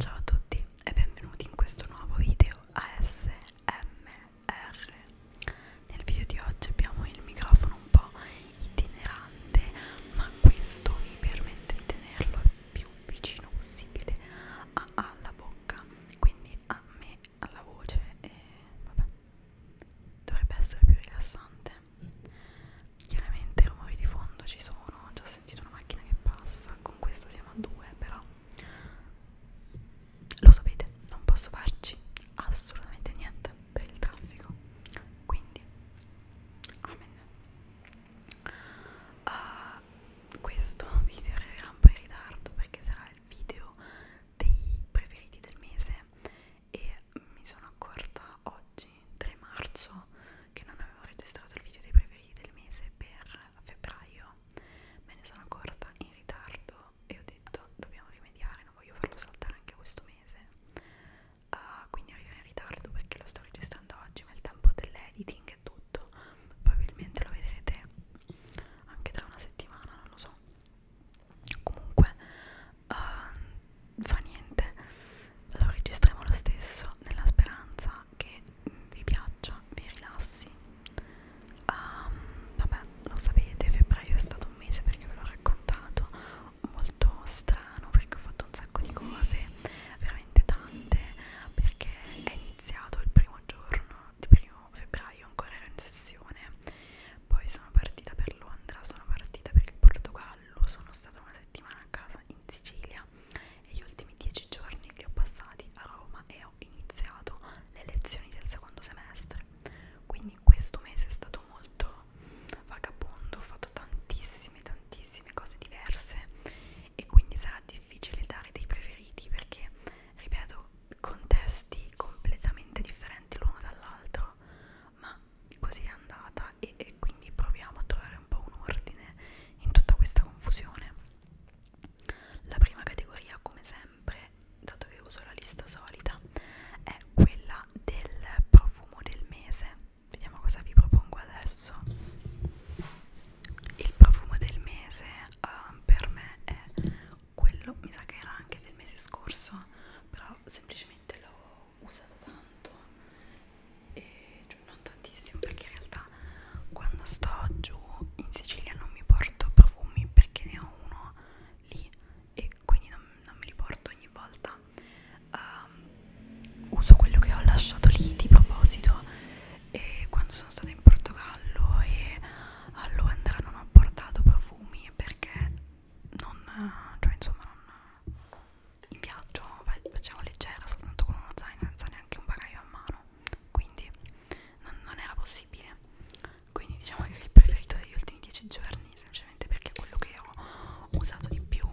Ciao a tutti e benvenuti in questo nuovo video ASMR. Nel video di oggi abbiamo il microfono un po' itinerante, ma questo mi permette di tenerlo il più vicino possibile alla bocca, quindi a me, alla voce e vabbè. Dovrebbe essere più rilassante sentite chiaramente rumori di fondo ci sono ho già sentito una macchina che passa con questa siamo a due però lo sapete non posso farci assolutamente niente per il traffico quindi amen uh, questo video era un po' in ritardo perché sarà il video dei preferiti del mese e mi sono accorta oggi oggi 3 marzo che non avevo registrato il video dei preferiti del mese per febbraio me ne sono accorta in ritardo e ho detto dobbiamo rimediare non voglio farlo saltare anche questo mese uh, quindi arrivo in ritardo perché lo sto registrando oggi ma il tempo dell'editing è tutto probabilmente lo vedrete anche tra una settimana non lo so comunque uh, fa niente lo registriamo lo stesso nella speranza che vi piaccia vi rilassi um, vabbè lo sapete febbraio è stato un mese perché ve l'ho raccontato molto strano perché ho fatto un sacco di cose veramente tante perché è iniziato il primo giorno di primo febbraio ancora ero in sessione poi sono partita per Londra sono partita per il Portogallo sono stata una settimana a casa in Sicilia Italia e gli ultimi dieci giorni li ho passati a Roma e ho iniziato le lezioni del secondo semestre. Quindi questo mese è stato molto vagabondo, ho fatto tantissime, tantissime cose diverse e quindi sarà difficile dare dei preferiti perché, ripeto, contesti completamente differenti l'uno dall'altro, ma così è andata e, e quindi proviamo a trovare un po' un ordine in tutta questa confusione. La prima categoria, come sempre, dato che uso la lista solita, è quella del profumo del mese. Vediamo cosa vi propongo adesso. Il profumo del mese uh, per me è quello, mi sa che era anche del mese scorso, però semplicemente lo usato tanto e cioè, non tantissimo perché in realtà quando sto giù in Sicilia non mi porto profumi perché ne ho uno lì e quindi non, non me li porto ogni volta um, uso quello che ho lasciato lì di proposito e quando sono stata in Portogallo e a Londra non ho portato profumi perché non, cioè insomma non, in viaggio facciamo leggera soltanto con uno zaino senza neanche un bagaglio a mano quindi non, non era possibile quindi diciamo che è il preferito degli ultimi 10 giorni semplicemente perché è quello che ho usato di più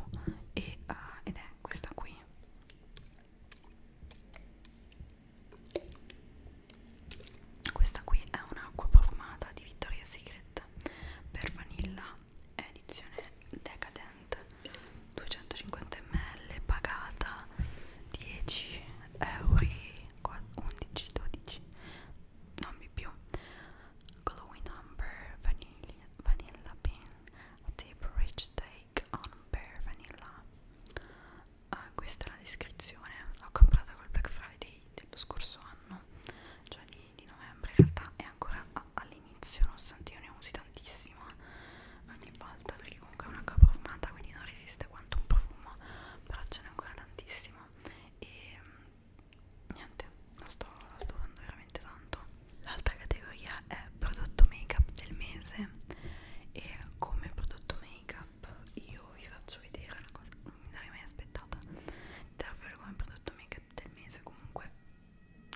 e, uh, ed è questa qui questa qui è un'acqua profumata di Victoria's Secret per vanilla è edizione Decadent 250 ml pagata 10 euro 11 12 non di più glowing amber vanilla, vanilla bean deep rich take on pear vanilla uh, questa è la descrizione l'ho comprata col black friday dello scorso anno cioè di, di novembre in realtà è ancora all'inizio all'inizio nonostante io ne usi tantissima eh, ogni volta perché comunque è una coppa profumata quindi non resiste quanto un profumo però ce n'è ancora tantissimo e mm, niente la sto, la sto usando veramente tanto l'altra categoria è prodotto make up del mese e come prodotto make up io vi faccio vedere una cosa non mi sarei mai aspettata davvero come prodotto make up del mese comunque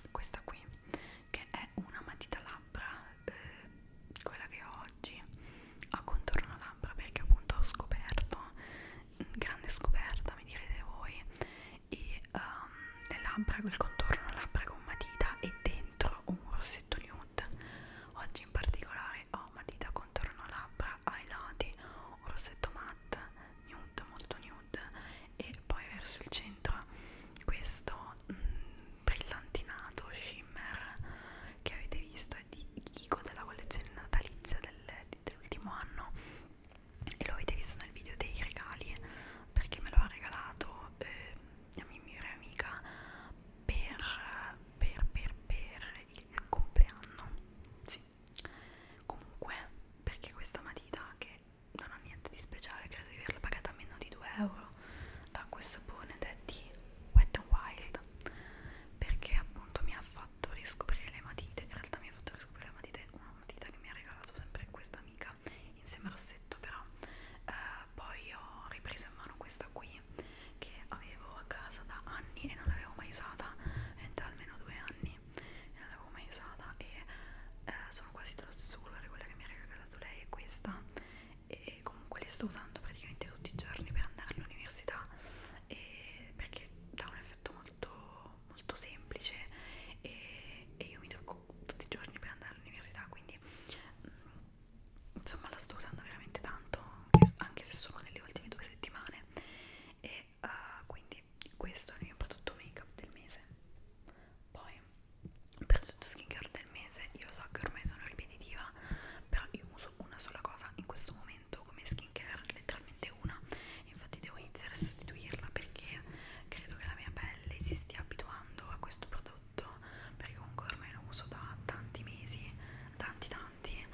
questa qui che è una matita labbra eh, quella che ho oggi a contorno labbra perché appunto ho scoperto mm, grande scoperta mi direte voi e um, le labbra il contorno labbra con matita e dentro un rossetto nude oggi in particolare ho matita contorno labbra ai lati un rossetto matte nude molto nude nude e poi verso il centro questo mh, mm, brillantinato shimmer che avete visto è di Kiko della collezione natalizia del, dell'ultimo anno e lo avete visto nel video dei regali perché me lo ha regalato eh, la mia migliore amica per, per, per, per il compleanno sì comunque perché questa matita che non ha niente di speciale, credo di averla pagata meno di 2 euro. L'acqua e sapone ed è di Wet n Wild perché appunto mi ha fatto riscoprire le matite. In realtà mi ha fatto riscoprire le matite una matita che mi ha regalato sempre questa amica insieme al rossetto, però eh, poi ho ripreso in mano questa qui che avevo a casa da anni e non l'avevo mai usata, è da almeno due anni e non l'avevo mai usata e eh, sono quasi dello stesso colore quella che mi ha regalato regalato lei è questa e comunque li sto usando praticamente tutti i giorni per andare all'università perché dà un effetto molto, molto semplice e, e io mi trucco tutti i giorni per andare all'università quindi mh, mm, insomma la sto usando veramente tanto anche se sono nelle ultime due settimane e uh, quindi questo è il mio prodotto make up del mese poi prodotto skincare del mese io so che ormai sono ripetitiva però io uso una sola cosa in questo momento come skincare letteralmente una infatti devo iniziare a sostituirla perché credo che la mia pelle si stia abituando a questo prodotto perché comunque ormai lo uso da tanti mesi tanti tanti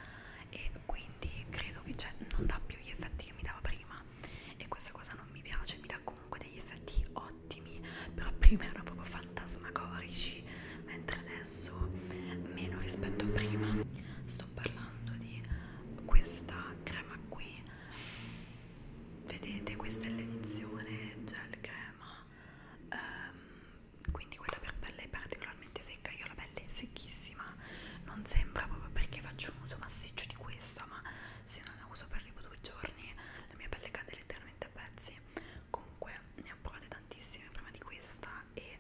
e quindi credo che cioè, non dà più gli effetti che mi dava prima e questa cosa non mi piace mi dà comunque degli effetti ottimi però prima erano proprio fantasmagorici mentre adesso meno rispetto a prima sto parlando di questa crema qui vedete questa è l'edizione gel crema um, quindi quella per pelle particolarmente secca io ho la pelle secchissima non sembra proprio perché faccio un uso massiccio di questa ma se non la uso per tipo due giorni la mia pelle cade letteralmente a pezzi comunque ne ho provate tantissime prima di questa e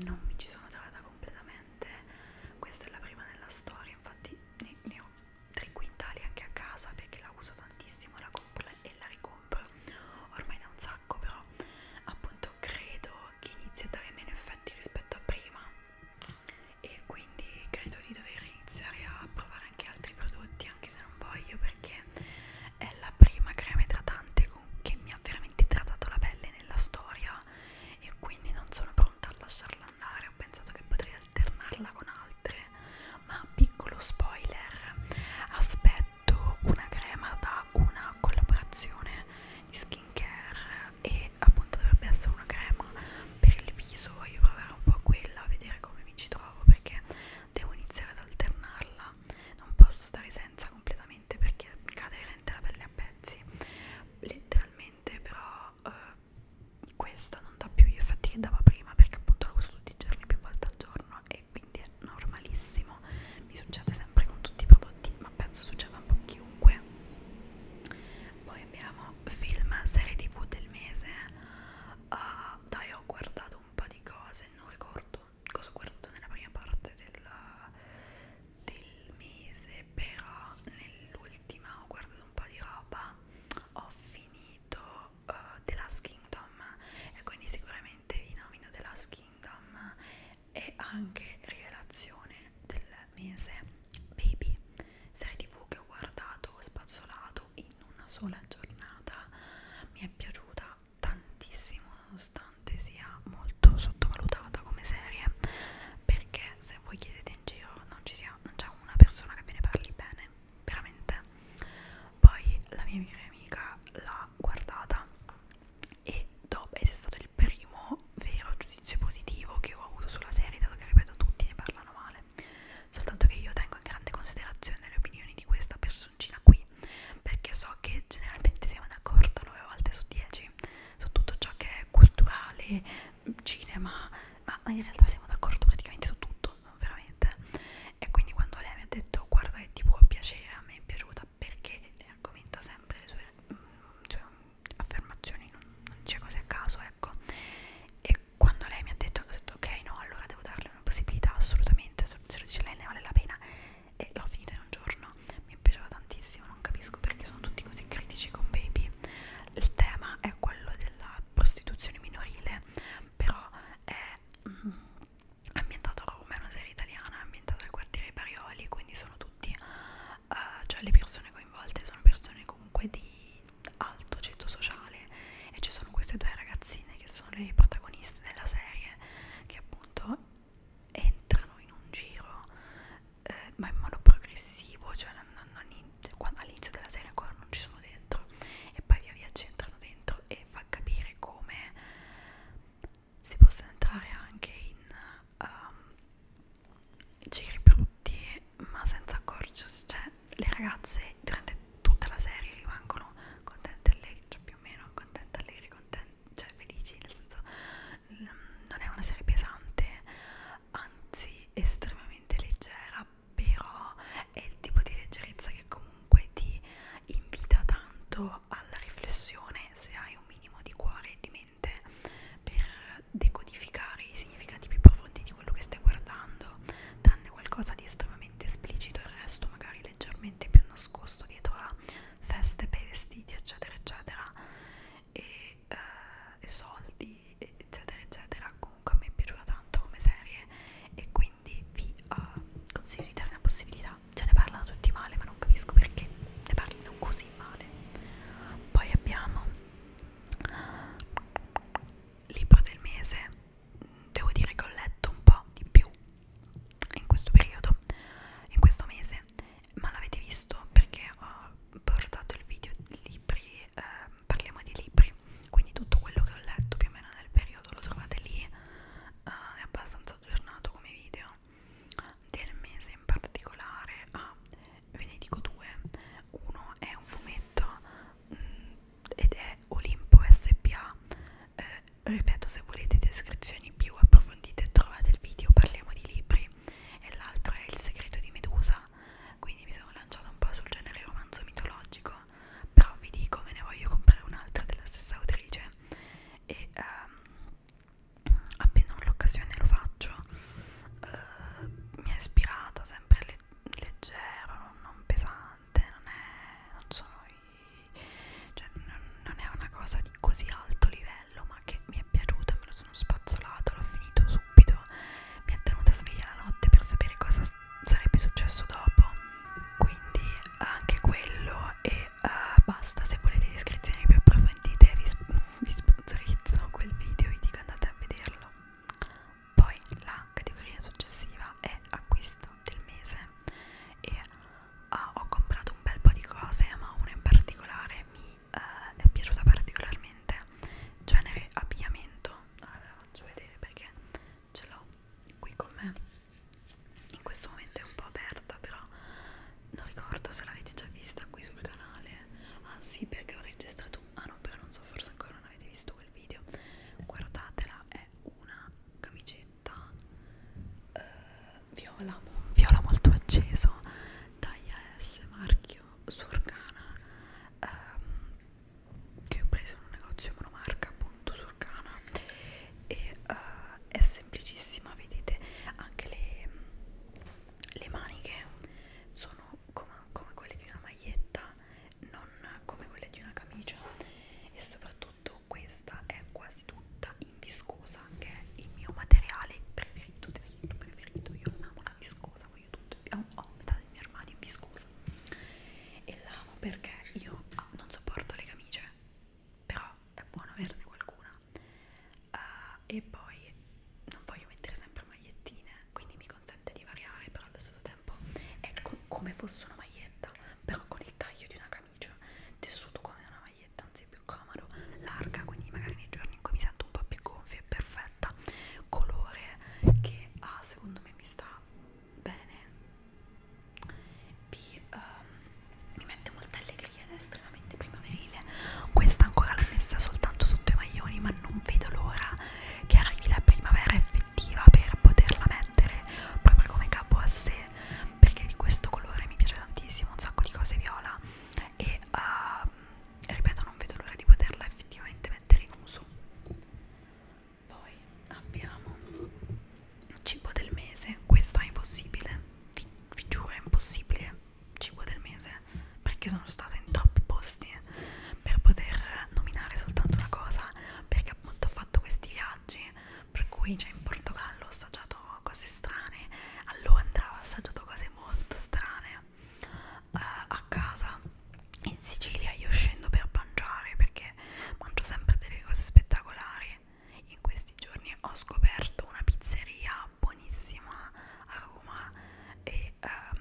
non mi ci sono trovata completamente questa è la prima nella storia infatti ne, ne ho tre quintali anche a casa perché la uso tantissimo la compro e la ricompro ormai da un sacco però appunto credo che inizi a dare meno effetti rispetto a prima e quindi credo di dover iniziare a provare anche altri prodotti anche se non voglio perché è la prima crema idratante che mi ha veramente idratato la pelle nella storia e quindi non sono pronta a lasciarla andare ho pensato che potrei alternarla con altre ma piccolo spoiler aspetto una crema da una collaborazione di skincare e appunto dovrebbe essere una crema per il viso voglio provare un po' a quella a vedere come mi ci trovo perché devo iniziare ad alternarla non posso stare senza completamente perché cade rente la pelle a pezzi letteralmente però eh, questa non dà più gli effetti che dava prima perché appunto la uso tutti i giorni più volte al giorno e quindi è normalissimo mi succede sempre con tutti i prodotti ma penso succeda un po' chiunque poi abbiamo film serie tv del mese Uh, dai, ho guardato un po' di cose, non ricordo cosa ho guardato nella prima parte della, del mese, però nell'ultima ho guardato un po' di roba, ho finito uh, The Last Kingdom e quindi sicuramente vi nomino The Last Kingdom e anche Rivelazione del mese Baby, serie tv che ho guardato, ho spazzolato fatto in una sola giornata mi è piaciuta tantissimo nonostante sia molto sottovalutata come serie perché se voi chiedete in giro non ci sia non c'è una persona che ve ne parli bene veramente poi la mia migliore amica l'ha guardata e dopo è stato il primo vero giudizio positivo che ho avuto sulla serie dato che ripeto tutti ne parlano male persone. Soltanto che io tengo in grande considerazione le opinioni di questa personcina qui, perché so che generalmente siamo d'accordo 9 volte su 10 su tutto ciò che è culturale, cinema, ma in realtà siamo d'accordo praticamente su tutto, no? veramente. E quindi quando lei mi ha detto guarda che ti può piacere, a me è piaciuta perché argomenta sempre le sue, mh, mm, sue affermazioni, non, non c'è cose a caso, ecco. E quando lei mi ha detto, ho detto ok no allora devo darle una possibilità assolutamente se lo dice lei ne vale la pena e l'ho finita in un giorno mi piaceva tantissimo non capisco perché sono tutti così critici con Baby il tema è quello della prostituzione minorile però è mm, ambientato a Roma è una serie italiana ambientata al quartiere Parioli quindi sono tutti uh, cioè le persone coinvolte sono persone comunque di alto ceto sociale e ci sono queste due ragazzine che sono le protagoniste della serie che appunto entrano in un giro eh, ma in modo progressivo cioè non, non, non, cioè, quando all'inizio della serie ancora non ci sono dentro e poi via via ci entrano dentro e fa capire come si possa entrare anche in um, giri brutti ma senza accorgersi, cioè le ragazze durante tutta la serie rimangono contente allegri, cioè più o meno contente allegri, contente, cioè felici, nel senso mm, non è una serie pesante, anzi estremamente leggera, però è il tipo di leggerezza che comunque ti invita tanto alla riflessione se hai un minimo di cuore e di mente per decodificare i significati più profondi di quello che stai guardando tranne qualcosa di estremamente esplicito, il resto magari leggermente più nascosto dietro a feste per vestiti, eccetera, eccetera, e, eh, e soldi, eccetera, eccetera. Comunque a me è piaciuta tanto come serie e quindi vi eh, consiglio di dare una possibilità. Ce ne parlano tutti male, ma non capisco perché ne parlino così male. Poi abbiamo libro del mese devo dire che ho letto un po' di più in questo periodo, in questo mese, ma l'avete visto perché ho portato il video di libri, eh, parliamo di libri, quindi tutto quello che ho letto più o meno nel periodo lo trovate lì, eh, è abbastanza aggiornato come video del mese in particolare, ah, ve ne dico due, uno è un fumetto mh, mm, ed è Olimpo SPA. Eh, ripeto, se volete descrizioni più approfondite trovate il video, parliamo di libri e l'altro è Il segreto di Medusa, quindi mi sono lanciata un po' sul genere romanzo mitologico, però vi dico me ne voglio comprare un'altra della stessa autrice e ehm, appena ho l'occasione lo faccio. Eh, mi ha ispirata sempre leggero, non, non pesante, non è, non sono i, cioè, non, non è una cosa di così alto livello, ma che mi è piaciuta, me lo sono spazzolato, l'ho finito subito, mi è tenuta sveglia la notte per sapere cosa sarebbe successo dopo, quindi anche quello e uh, basta, se volete descrizioni più approfondite vi, vi sponsorizzo quel video, vi dico andate a vederlo poi la categoria successiva è acquisto del mese e uh, ho comprato un bel po' di cose ma una in particolare mi uh, è piaciuta particolarmente genere abbigliamento allora ah, ve la faccio vedere perché ce l'ho qui con me in questo momento è un po' aperta però non ricordo se l'avete già vista qui sul canale ah sì perché ho registrato un ah no però non so forse ancora non avete visto quel video guardatela è è una camicetta eh, viola, viola molto acceso taglia S marchio Surcana ehm, che ho preso in un negozio monomarca appunto Surcana e eh, è semplicissima vedete anche le, le maniche sono come, come quelle di una maglietta non come quelle di una camicia e soprattutto questa è quasi tutta in viscosa che è il mio materiale preferito, tessuto preferito, io amo la viscosa, voglio tutto, ho, ho oh, metà del mio armadio in viscosa e l'amo perché io ah, non sopporto le camicie, però è buono averne qualcuna uh, e poi non voglio mettere sempre magliettine, quindi mi consiglio consente di variare però allo stesso tempo è co come fosse una maglietta però con il taglio di una camicia tessuto come una maglietta anzi è più comodo larga quindi magari nei giorni in cui mi sento un po' più gonfia è perfetta colore che A ah, secondo me mi sta bene B um, ehm, mi mette molta allegria ed è estremamente primaverile questa ancora l'ho messa soltanto sotto i maglioni ma non vedo l'ora che arrivi la primavera e effettiva per poterla mettere proprio come capo a sé perché di questo colore mi piace tantissimo un sacco di cose viola e uh, ripeto non vedo l'ora di poterla effettivamente mettere in uso poi abbiamo cibo del mese questo è impossibile vi, vi giuro è impossibile cibo del mese perché sono stata in troppi posti per poter nominare soltanto una cosa perché perché appunto ho fatto questi viaggi per cui cioè, in Portogallo ho assaggiato cose strane a Londra ho assaggiato cose molto strane uh, a casa in Sicilia io scendo per mangiare perché mangio sempre delle cose spettacolari in questi giorni ho scoperto una pizzeria buonissima a Roma e um,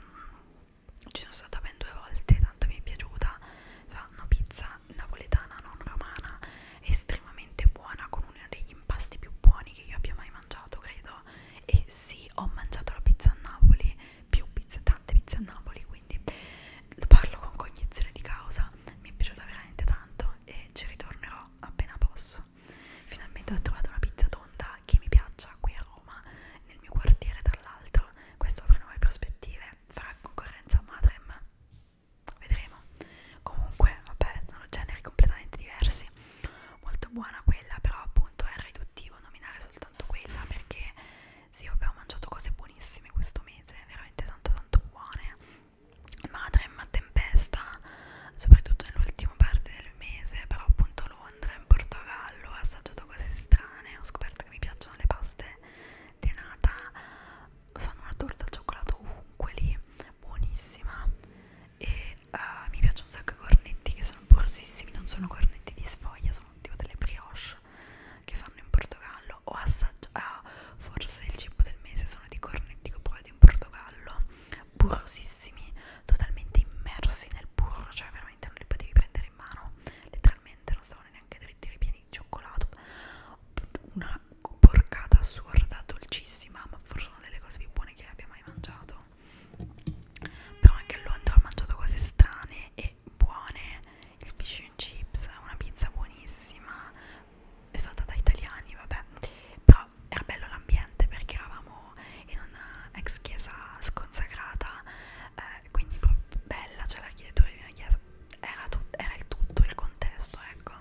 ci sono stata ben due volte tanto mi è piaciuta fa una pizza napoletana non romana estremamente buona con uno degli impasti più buoni che io abbia mai mangiato credo e sì ho mangiato la pizza a Napoli più pizza tante pizze a Napoli quindi parlo con cognizione di causa mi è piaciuta veramente tanto e ci ritornerò appena posso finalmente ho trovato una pizza tonda che mi piaccia qui a Roma nel mio quartiere tra l'altro questo apre nuove prospettive farà concorrenza a Madrem vedremo comunque vabbè sono generi completamente diversi molto buona quella però appunto è riduttivo nominare soltanto quella perché sì vabbè ho mangiato cose buonissime questo mese veramente tanto tanto buone Madrem tempesta soprattutto nell'ultima parte del mese però appunto Londra in Portogallo ho assaggiato cose strane ho scoperto che mi piacciono le paste è nata fanno una torta al cioccolato ovunque lì buonissima e uh, mi piacciono un sacco i cornetti che sono porosissimi non sono cornetti di sfoglia sono tipo delle brioche che fanno in Portogallo ho assaggiato ah, forse il cibo del mese sono di cornetti che ho provato in Portogallo burrosissimi totalmente immersi nel burro cioè veramente non li potevi prendere in mano letteralmente non stavano neanche dritti ripieni di cioccolato una porcata assurda dolcissima ma forse una delle cose più buone che abbia mai mangiato però anche a Londra ho mangiato cose strane e buone il fish and chips una pizza buonissima fatta da italiani vabbè però era bello l'ambiente perché eravamo in una ex chiesa sconsacrata eh, quindi proprio bella c'è cioè l'architettura di una chiesa era, era il tutto il contesto ecco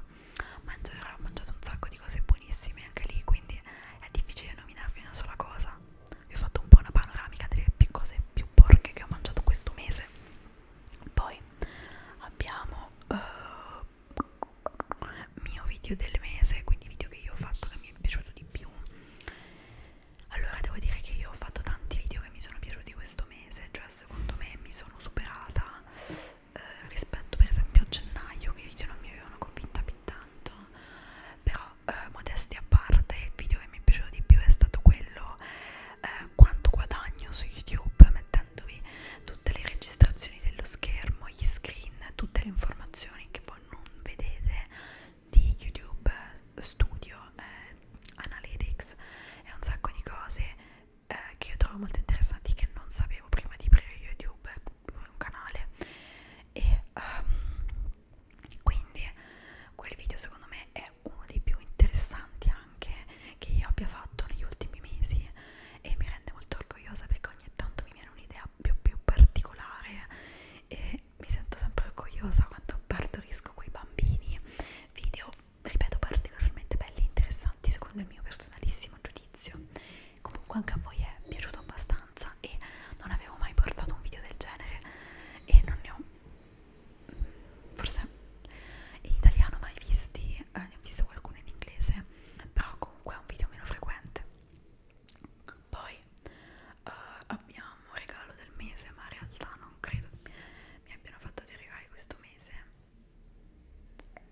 ma in generale ho mangiato un sacco di cose buonissime anche lì quindi è difficile nominarvi una sola cosa vi ho fatto un po' una panoramica delle più cose più porche che ho mangiato questo mese poi abbiamo uh, mio video del mese quindi video che io ho fatto che mi è piaciuto di più allora devo dire che io ho fatto tanti video che mi sono piaciuti questo mese, cioè secondo me mi sono superata eh, rispetto per esempio a gennaio che i video non mi avevano convinta più tanto, però eh, modesti a parte il video che mi è piaciuto di più è stato quello eh, quanto guadagno su YouTube mettendovi tutte le registrazioni dello schermo, gli screen, tutte le informazioni che voi non vedete di YouTube eh, Studio eh, analytics e un sacco di cose eh, che io trovo molto interessanti che non sapevo prima di aprire YouTube un canale e um, quindi quel video secondo me è uno dei più interessanti anche che io abbia fatto negli ultimi mesi e mi rende molto orgogliosa perché ogni tanto mi viene un'idea più, più particolare e mi sento sempre orgogliosa quando partorisco quei bambini video ripeto particolarmente belli e interessanti secondo il mio personalissimo giudizio comunque anche a voi è piaciuto abbastanza e non avevo mai portato un video del genere e non ne ho mm, forse in italiano mai visti eh, ne ho visto qualcuno in inglese però comunque è un video meno frequente poi eh, abbiamo regalo del mese ma in realtà non credo mi abbiano fatto dei regali questo mese e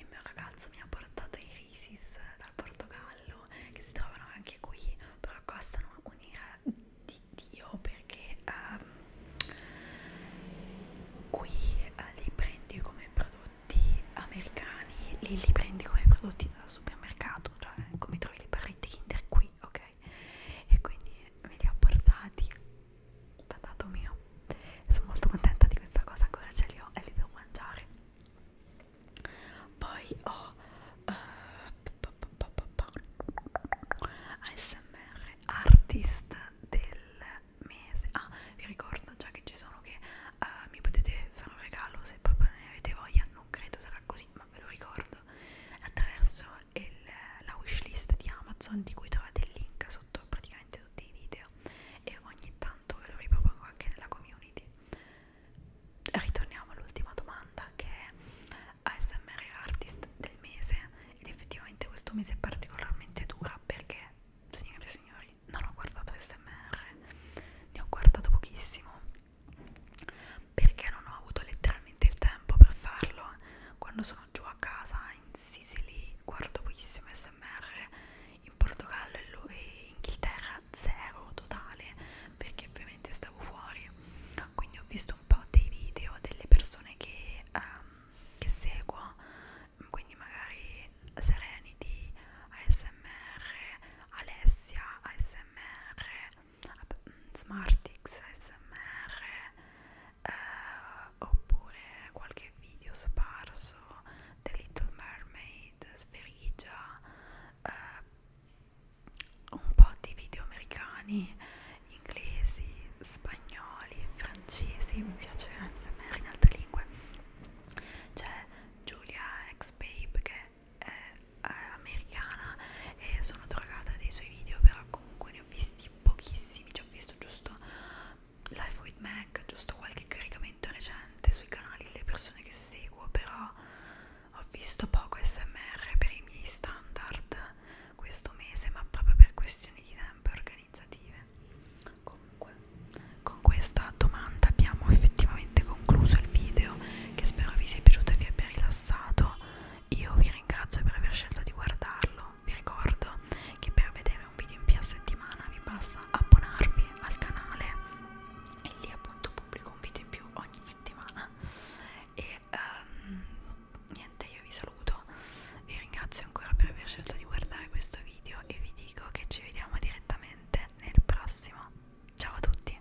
il mio ragazzo mi ha portato i risis dal Portogallo che si trovano anche qui però costano un'ira di Dio perché um, qui uh, li prendi come prodotti americani li, li prendi come prodotti dal supermercato cioè come trovi le barrette Kinder qui ok ok? E quindi me li ha portati da dato mio. Sono molto contenta di questa cosa, ancora ce li ho e li devo mangiare. Poi ho uh, eh, ASMR Artist del mese. Ah, vi ricordo già che ci sono che uh, mi potete fare un regalo se proprio ne avete voglia. Non credo sarà così, ma ve lo ricordo. Attraverso il, la wishlist di Amazon di cui trovate il link sotto praticamente tutti i video e ogni tanto ve lo ripropongo anche nella community. Ritorniamo all'ultima domanda che è ASMR Artist del mese ed effettivamente questo mese è particolarmente dura perché, signore e signori, non ho guardato ASMR, ne ho guardato pochissimo perché non ho avuto letteralmente il tempo per farlo quando sono giù a casa in Sicily guardo pochissimo smr in Portogallo e in Inghilterra zero totale perché ovviamente stavo fuori quindi ho visto un po' dei video delle persone che, um, che seguo quindi magari Serenity ASMR Alessia ASMR Mm, SmartX, SMR eh, oppure qualche video sparso The Little Mermaid, Sferigia eh, un po' di video americani, inglesi, spagnoli, francesi mi piace SMR in altre lingue c'è Giulia X Babe che è eh, americana e sono drogata dei suoi video però comunque ne ho visti pochissimi ci ho visto giusto Life with Mac giusto qualche caricamento recente sui canali delle persone che seguo però ho visto poco smr per i miei standard questo mese ma proprio per questioni di tempo organizzative comunque con questa domanda abbiamo effettivamente concluso il video che spero vi sia piaciuto e vi abbia rilassato io vi ringrazio per aver scelto di guardarlo. Vi ricordo che per vedere un video in più a settimana vi basta abbonarvi al canale e lì appunto pubblico un video in più ogni settimana. E um, niente, io vi saluto. Vi ringrazio ancora per aver scelto di guardare questo video e vi dico che ci vediamo direttamente nel prossimo. Ciao a tutti!